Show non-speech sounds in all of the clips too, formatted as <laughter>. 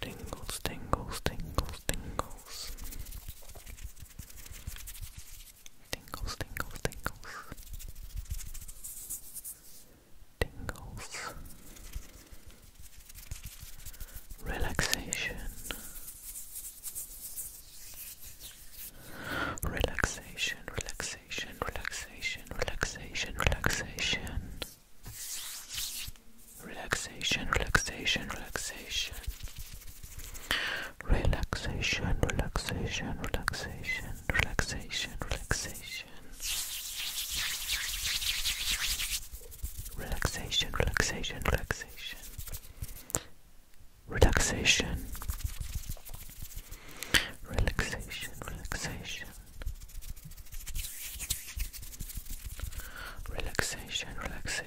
Tingles, tingles, tingles, tingles. Tingles, tingles, tingles. Tingles. Relaxation. Relaxation, relaxation, relaxation, relaxation, relaxation relaxation, relaxation, relaxation, relaxation, relaxation, relaxation, relaxation, relaxation. Relaxation, relaxation, relaxation. Relaxation. Relaxation, relaxation. Relaxation, relaxation,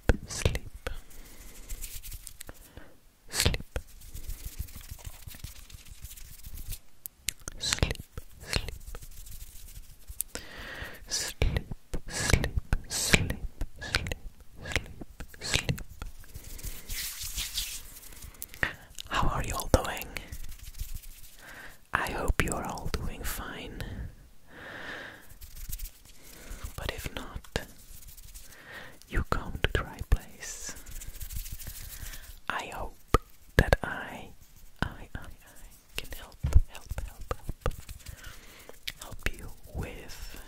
sleep, sleep, sleep, sleep, sleep, sleep, sleep, sleep, sleep, sleep, sleep. How are you all doing? I hope you are all doing fine. But if not, you come to the right place. I hope that I, I, I, I can help, help, help, help, help you with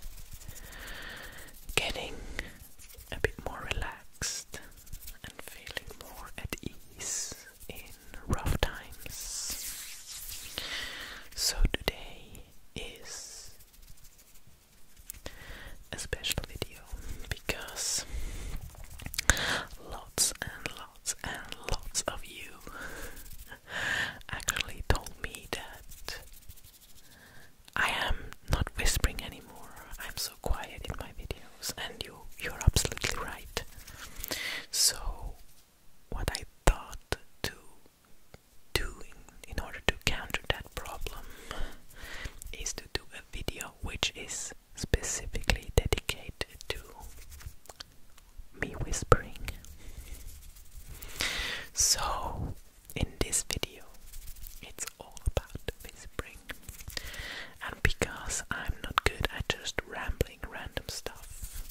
getting a bit more relaxed and feeling more at ease in rough times. So today is a special video because lots and lots and lots of you actually told me that I am not whispering anymore. I'm so quiet in my videos and you you're absolutely right. So what I thought to do in order to counter that problem is to do a video which is specifically dedicated to me whispering. So, in this video, it's all about whispering. And because I'm not good at just rambling random stuff,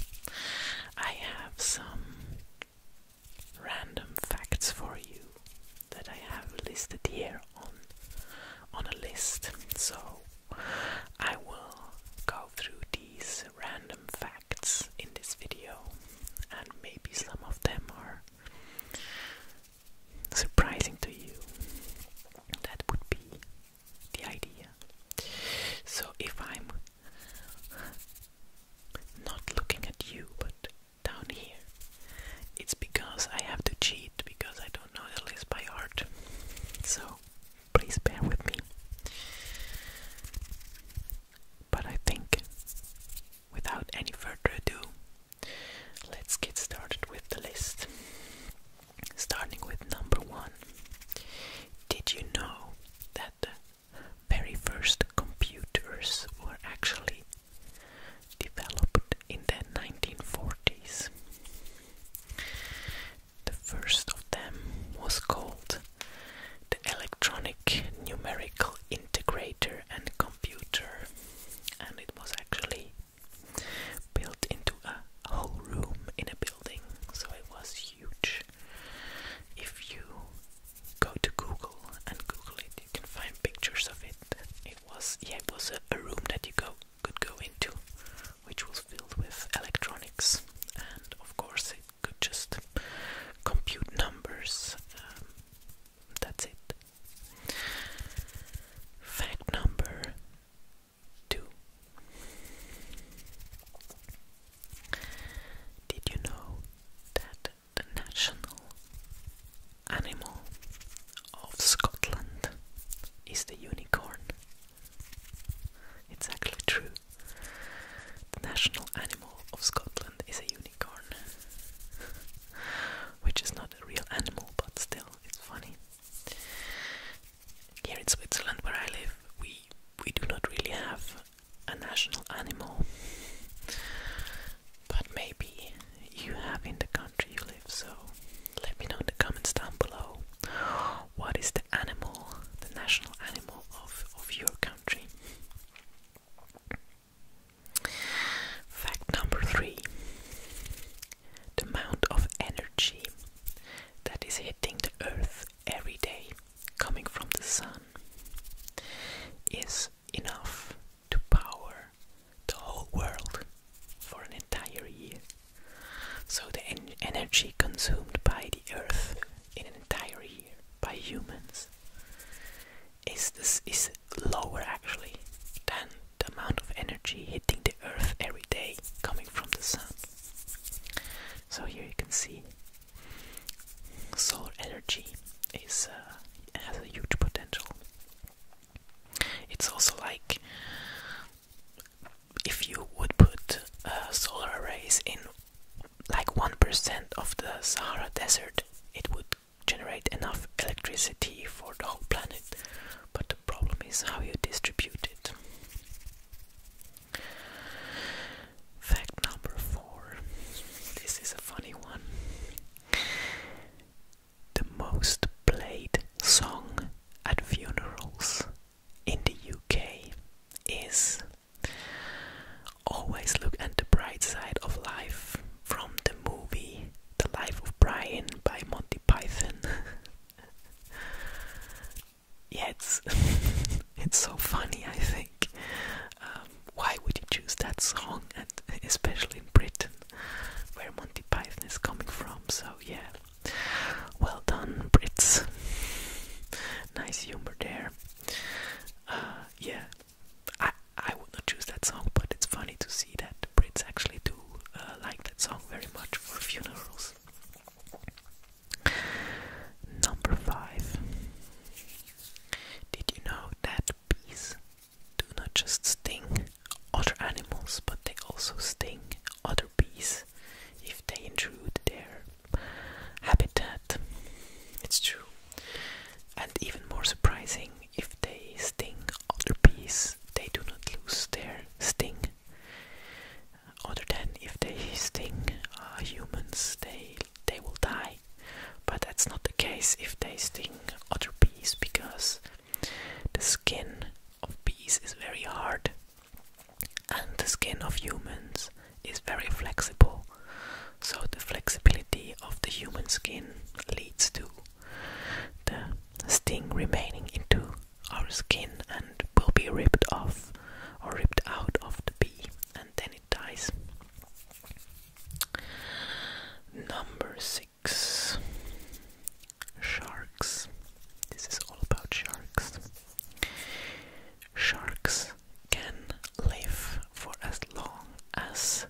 I have some random facts for you that I have listed here on on a list. So I will go through these random facts in this video and maybe some of them are surprising to you. That would be the idea. So if I'm not looking at you, but down here. It's because I have to cheat because I don't know the list by heart. So please bear with me. But I think, without any further ado, let's get started with the list. Starting with number one. Did you know that very first computers were actually developed in the 1940s. The first of them was called the Electronic Numerical Integrator and Computer, and it was actually built into a whole room in a building, so it was huge. If you go to Google and Google it, you can find pictures of it. It was yeah, it was a, a room that you go could go into, which was filled with electronics, and of course it could just compute numbers. Um, that's it. Fact number two. Did you know that the national animal of Scotland is the unicorn? It's actually true. The national animal of Scotland is a unicorn, <laughs> which is not a real animal, but still, it's funny. Here in Switzerland, where I live, we we do not really have a national animal, but maybe you have in the country you live. So let me know in the comments down below what is the animal, the national animal of of your country. Fact number three: the amount of energy that is hitting the earth every day coming from the sun is enough to power the whole world for an entire year. So, the energy consumed by the earth in an entire year by humans is, this, is lower actually than the amount of energy hitting the earth every day coming from the sun. So here you can see solar energy is uh, has a huge potential. It's also like if you would put uh, solar arrays in like 1% of the Sahara Desert, it would generate enough electricity for the whole planet. But the problem is how you distribute it. Fact number four. This is a funny one. The most played song at funerals in the UK is Always Look at the Bright Side of Life from the movie The Life of Brian by Monty Python. <laughs> yeah, <laughs> it's so funny. I think um, why would you choose that song, and <laughs> especially in Britain, where Monty Python is coming from? So yeah, well done, Brits. nice humor there. Uh, yeah, I I would not choose that song, but it's funny to see that the Brits actually do uh, like that song very much for funerals. Number five. Did you know that bees do not just sting other animals, but they also sting other bees if they intrude their habitat? It's true. And even more surprising, if they sting other bees, they do not lose their sting other than if they sting uh, humans, they they will die. But that's not the case if they sting other bees because the skin of bees is very hard and the skin of humans is very flexible. So the flexibility of the human skin leads to the sting remaining into our skin and will be ripped off or ripped out of the bee and then it dies. Number six Sharks. This is all about sharks. Sharks can live for as long as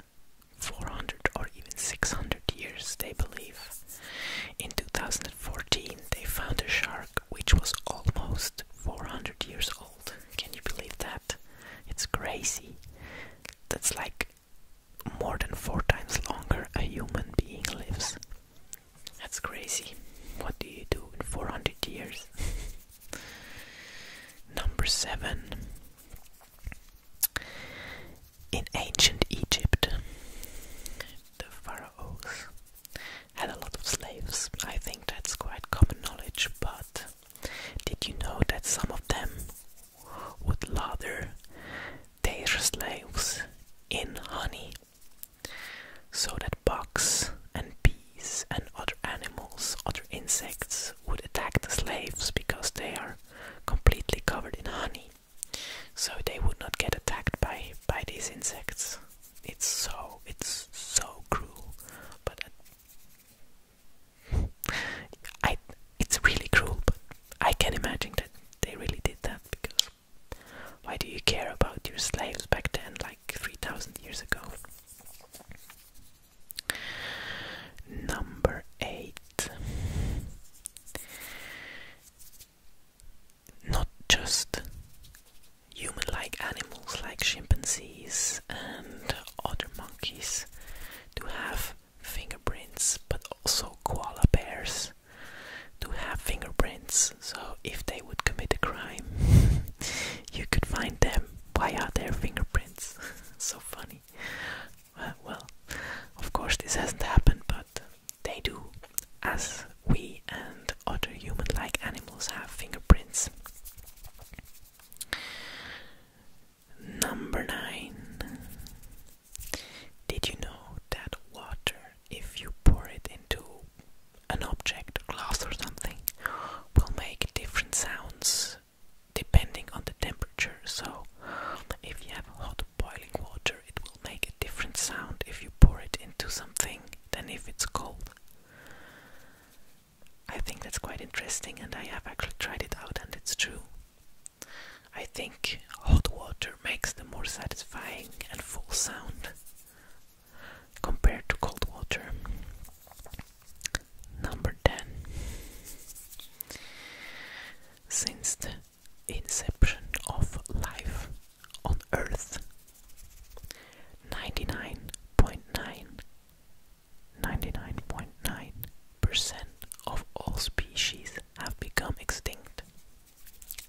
400 or even 600 years, they believe. In 2014, they found a shark which was almost 400 years old. Can you believe that? It's crazy. That's like more than four times longer a human being lives. That's crazy. What do you do in 400 years? <laughs> Number seven. In ancient Egypt, the pharaohs had a lot of slaves. I think that's quite common knowledge, but did you know that some of them would lather their slaves in honey so that bugs and bees and other animals, other insects would attack the slaves because they are completely covered in honey. So they would not get attacked by by these insects. It's so, it's so cruel, but uh, <laughs> I, it's really cruel, but I can imagine that they really did that because why do you care about your slaves back then, like 3000 years ago? Number 8 not just human like animals like chimpanzees and other monkeys to have fingerprints, but also koala bears to have fingerprints. So if they would commit a crime, <laughs> you could find them via their fingerprints. <laughs> so funny. Uh, well, of course, this hasn't happened, but they do, as we and other human like animals have fingerprints. Number 9. Did you know that water, if you pour it into an object, glass or something, will make different sounds depending on the temperature? So, if you have hot boiling water, it will make a different sound if you pour it into something than if it's cold. I think that's quite interesting, and I have actually tried it out, and it's true. I think hot water makes the more satisfying and full sound compared to cold water. Number 10. Since the inception of life on Earth, 99.9 percent of all species have become extinct,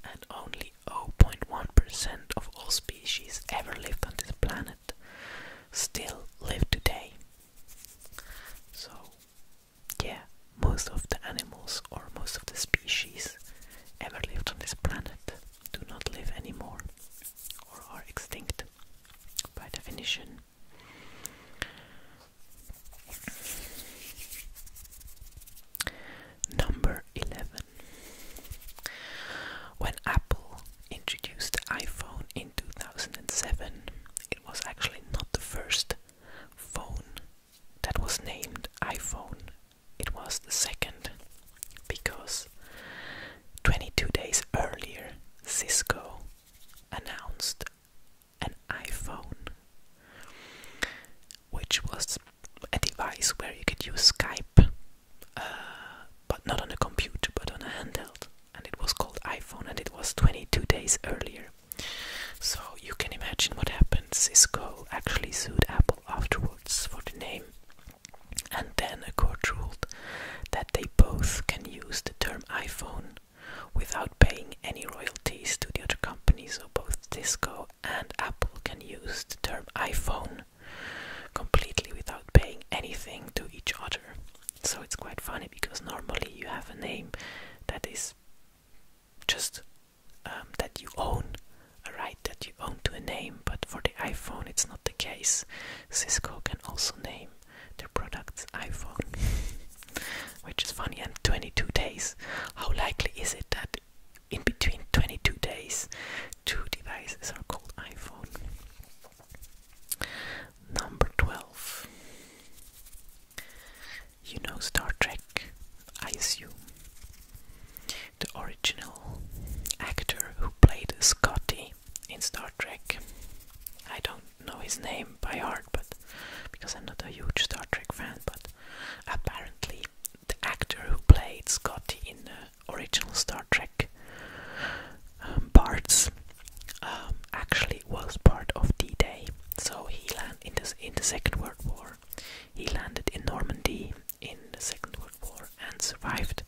and only 0.1% of all species ever lived on this planet still live today. So, yeah, most of the animals or most of the species ever lived on this planet do not live anymore or are extinct by definition. Number 11. When Apple introduced the iPhone in 2007, it was actually not the first phone that was named iPhone it was the second because 22 days earlier Cisco announced an iPhone which was a device where you could use Skype uh, but not on a computer but on a handheld and it was called iPhone and it was 22 days earlier so you can imagine what happened Cisco actually sued Apple afterwards for the name, and then a court ruled that they both can use the term iPhone without paying any royalties to the other companies. so both Disco and Apple can use the term iPhone completely without paying anything to each other. So it's quite funny because normally you have a name that is just um, that you own a right that you own to a name, but for the iPhone it's not the case. Cisco can also name their products iPhone, <laughs> which is funny. And 22 days. How likely is it that in between 22 days, two devices are called iPhone? Number 12. You know Star Trek, I assume. The original actor who played Scotty in Star Trek. I don't know his name by heart, but because I'm not a huge Star Trek fan, but apparently the actor who played Scotty in the original Star Trek um, parts um, actually was part of D-Day, so he landed in the in the Second World War. He landed in Normandy in the Second World War and survived.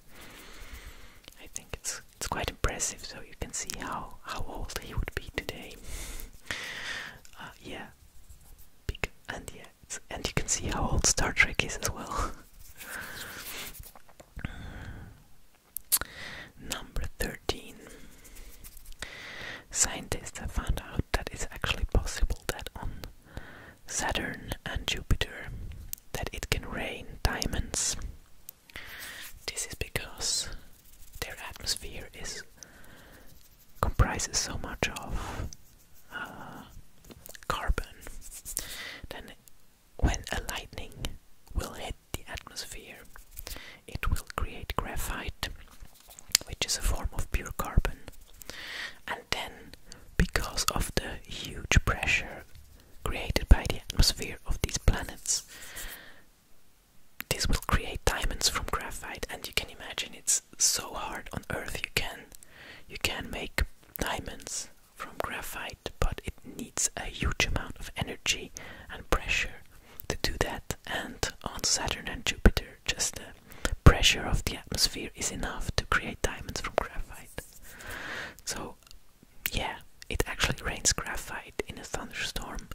I think it's it's quite impressive, so you can see how how old he would be today. Uh, yeah, Big, and yeah, and you can see how old Star Trek is as well. <laughs> Number 13. Scientists have found out that it's actually possible that on Saturn and Jupiter that it can rain diamonds. This is because their atmosphere is comprises so much of uh, carbon. Then, when a lightning will hit the atmosphere, it will create graphite, which is a form of pure carbon. And then, because of the huge pressure created by the atmosphere of these planets, this will create diamonds from graphite. And you can imagine it's so hard on Earth. You can, you can make diamonds from graphite, but it needs a huge amount of energy and pressure to do that. And on Saturn and Jupiter, just pressure of the atmosphere is enough to create diamonds from graphite. So, yeah, it actually rains graphite in a thunderstorm,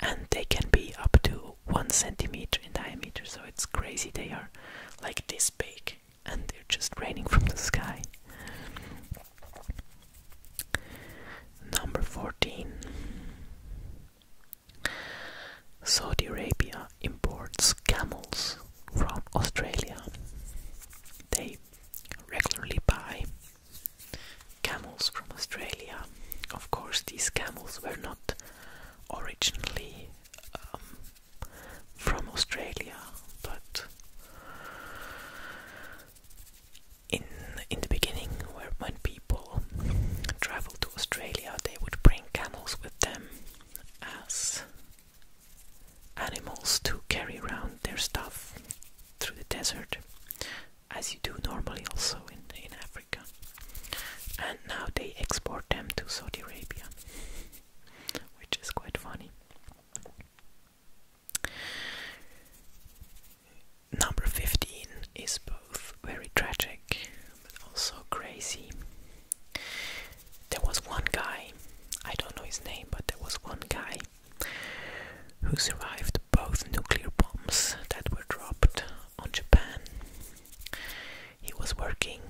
and they can be up to one centimeter in diameter. So it's crazy. They are like this big, and they're just raining from the sky. Number 14. Saudi Arabia imports camels from Australia. They regularly buy camels from Australia. Of course, these camels were not originally um, from Australia, but in in the beginning, where when be people travel to Australia, they would bring camels with them as animals to carry around their stuff through the desert, as you do normally also in, in Africa. And now they export them to Saudi Arabia, which is quite funny. Number 15 is both very tragic also crazy. There was one guy, I don't know his name, but there was one guy who survived both nuclear bombs that were dropped on Japan. He was working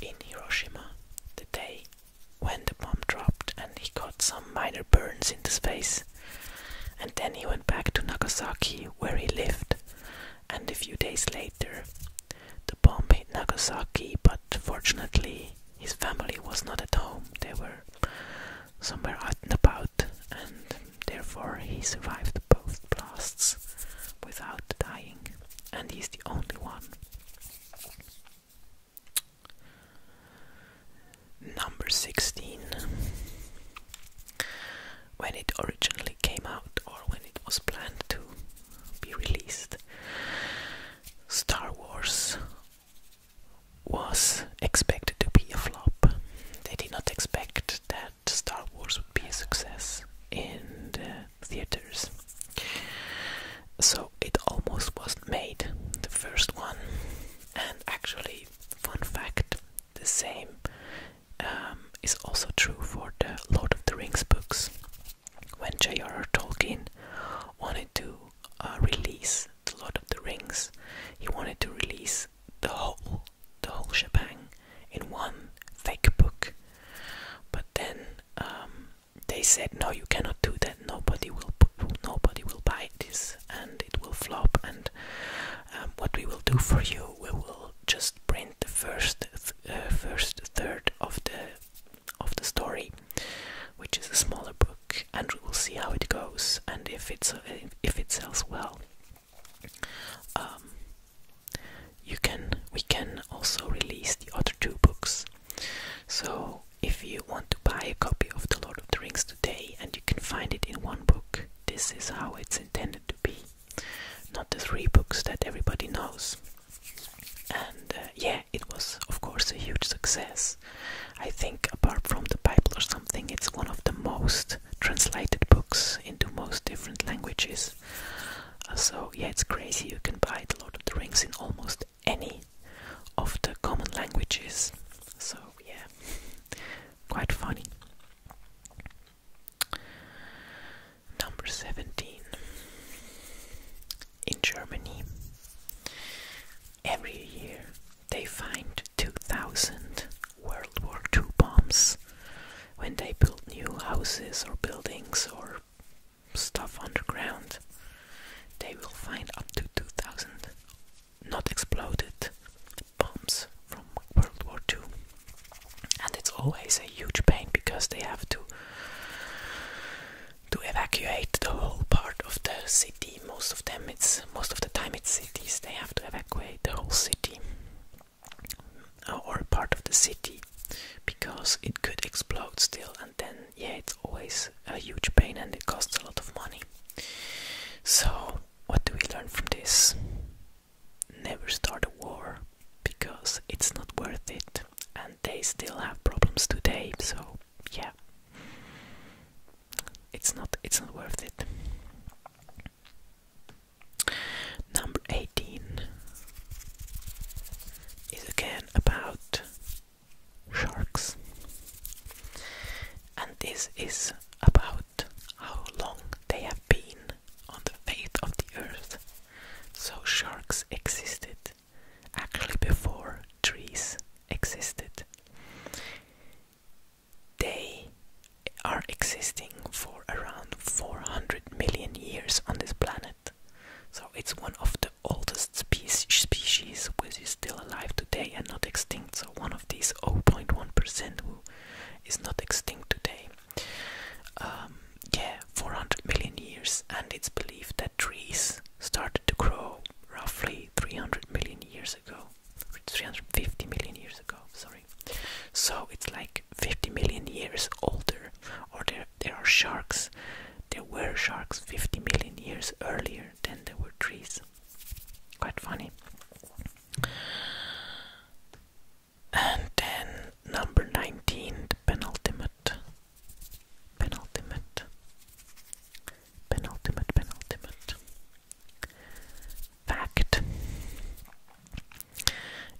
in Hiroshima the day when the bomb dropped and he got some minor burns in his face. And then he went back to Nagasaki where he lived and a few days later, the bomb hit Nagasaki, but fortunately, his family was not at home. They were somewhere out and about, and therefore he survived both blasts without dying, and he's the only one. Number 16 when it originally came out or when it was planned to be released. Star Wars was expected to be a flop. They did not expect that Star Wars would be a success in the theaters. So it almost wasn't made, the first one. And actually, fun fact the same um, is also true for the Lord of the Rings books. When J.R.R. Tolkien wanted to uh, release the Lord of the Rings, he wanted to release the whole, the whole shebang in one fake book. But then um, they said, "No, you cannot do that. Nobody will, nobody will buy this, and it will flop. And um, what we will do for you, we will just print the first uh, first third of the of the story, which is a smaller book, and we will see how it goes and if it's uh, if it sells well. Um, you can we can also release the other two books. So if you want to buy a copy of The Lord of the Rings today and you can find it in one book, this is how it's intended to be not the three books that everybody knows. And uh, yeah, it was of course a huge success. I think, apart from the Bible or something, it's one of the most translated books into most different languages. Uh, so yeah, it's crazy. You can buy a lot of drinks in almost any of the common languages. So yeah, <laughs> quite funny. Number 17. In Germany, every year they find 2,000 World War II bombs when they build new houses or buildings or stuff underground. They will find up to 2,000 not exploded bombs from World War II. And it's always a huge pain because they have to to evacuate the whole part of the city. Most of them it's most of the time it's cities. They have to evacuate the whole city uh, or part of the city because it could explode still and then yeah it's always a huge pain and it costs a lot of money. So what do we learn from this? never start a war because it's not worth it and they still have problems today so yeah it's not it's not worth it number 18 is again about sharks and this is about how long they have been on the face of the earth. So sharks existed actually before trees existed. They are existing for around 400 million years on this planet. So it's one of the oldest species, species which is still alive today and not extinct. So one of these 0.1% who is not extinct today. Um, yeah, 400 million years, and it's believed that trees started to grow roughly 300 million years ago, 350 million years ago, sorry. So it's like 50 million years older, or there, there are sharks. There were sharks 50 million years earlier than there were trees. Quite funny. And then number 19, the penultimate. Penultimate. Penultimate, penultimate. Fact.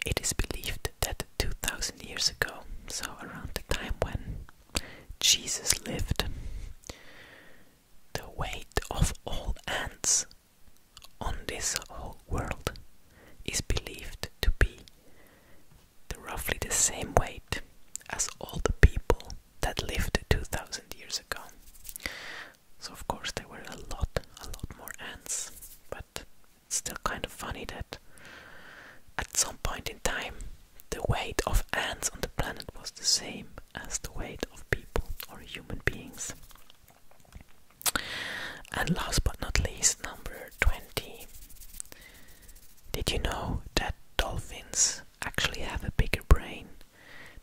It is believed that 2000 years ago, so around the time when Jesus lived, the weight of all ants on this whole world is believed to be roughly the same weight as all the people that lived 2000 years ago. So, of course, there were a lot, a lot more ants, but it's still kind of funny that at some point in time the weight of ants on the planet was the same as the weight of people or human beings. And last but not least, number 20. Did you know that dolphins actually have a bigger brain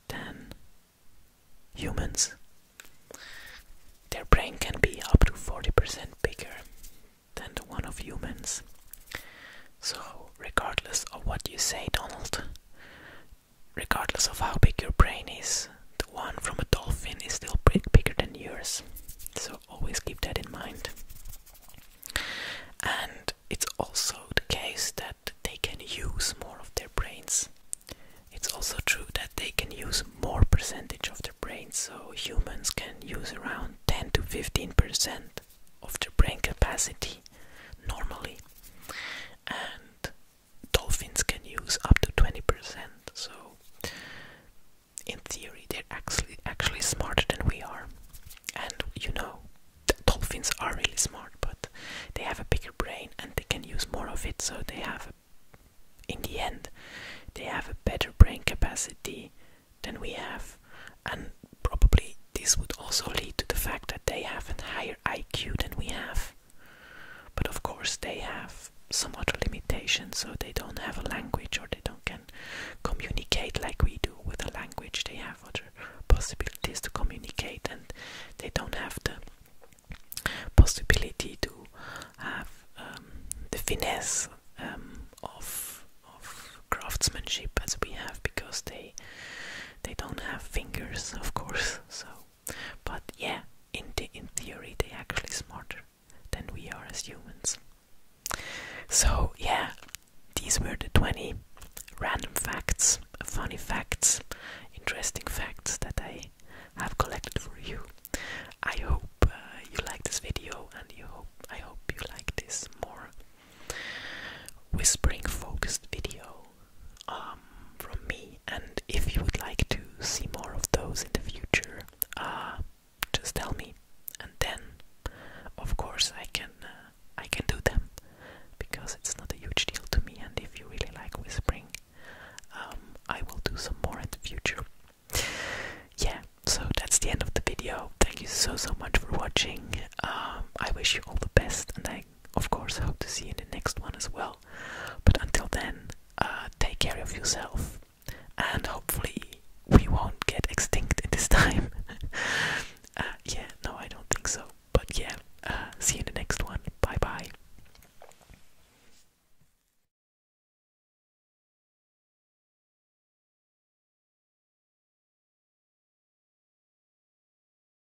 than humans? Their brain can be up to 40% bigger than the one of humans. So, regardless of what you say, Donald, regardless of how big your brain is, the one from a dolphin is still bigger than yours. So always keep that in mind. And it's also the case that they can use more of their brains. It's also true that they can use more percentage of their brains. so humans can use around 10 to 15 percent of their brain capacity normally. And dolphins can use up to 20%, so in theory they're actually actually smarter than we are. And you know, dolphins are really smart, but they have a bigger brain and they can use more of it, so they have in the end they have a better brain capacity than we have and probably this would also lead to the fact that they have a higher IQ than we have but of course, they have some other limitations, so they don't have a language or they don't can communicate like we do with a language. They have other possibilities to communicate, and they don't have the possibility to have um, the finesse um, of of craftsmanship as we have because they they don't have fingers, of course. So but yeah, in, in theory, they're actually smarter than we are as humans. So yeah, these were the 20 random facts, funny facts, interesting facts that I have collected for you. I hope uh, you like this video and you hope I hope you like this more whispering focused video um, from me. And if you would like to see more of those in the future, uh, just tell me, and then, of course, I can uh, I can do them because it's not a huge deal to me. And if you really like whispering, um, I will do some more in the future. Yeah, so that's the end of the video. Thank you so so much for watching. Um, I wish you all the best, and I of course hope to see you in the next one as well. But until then, uh, take care of yourself, and hopefully we won't get extinct in this <laughs> time. Uh, yeah, no, I don't think so. But yeah, uh, see you in the next one. Bye bye.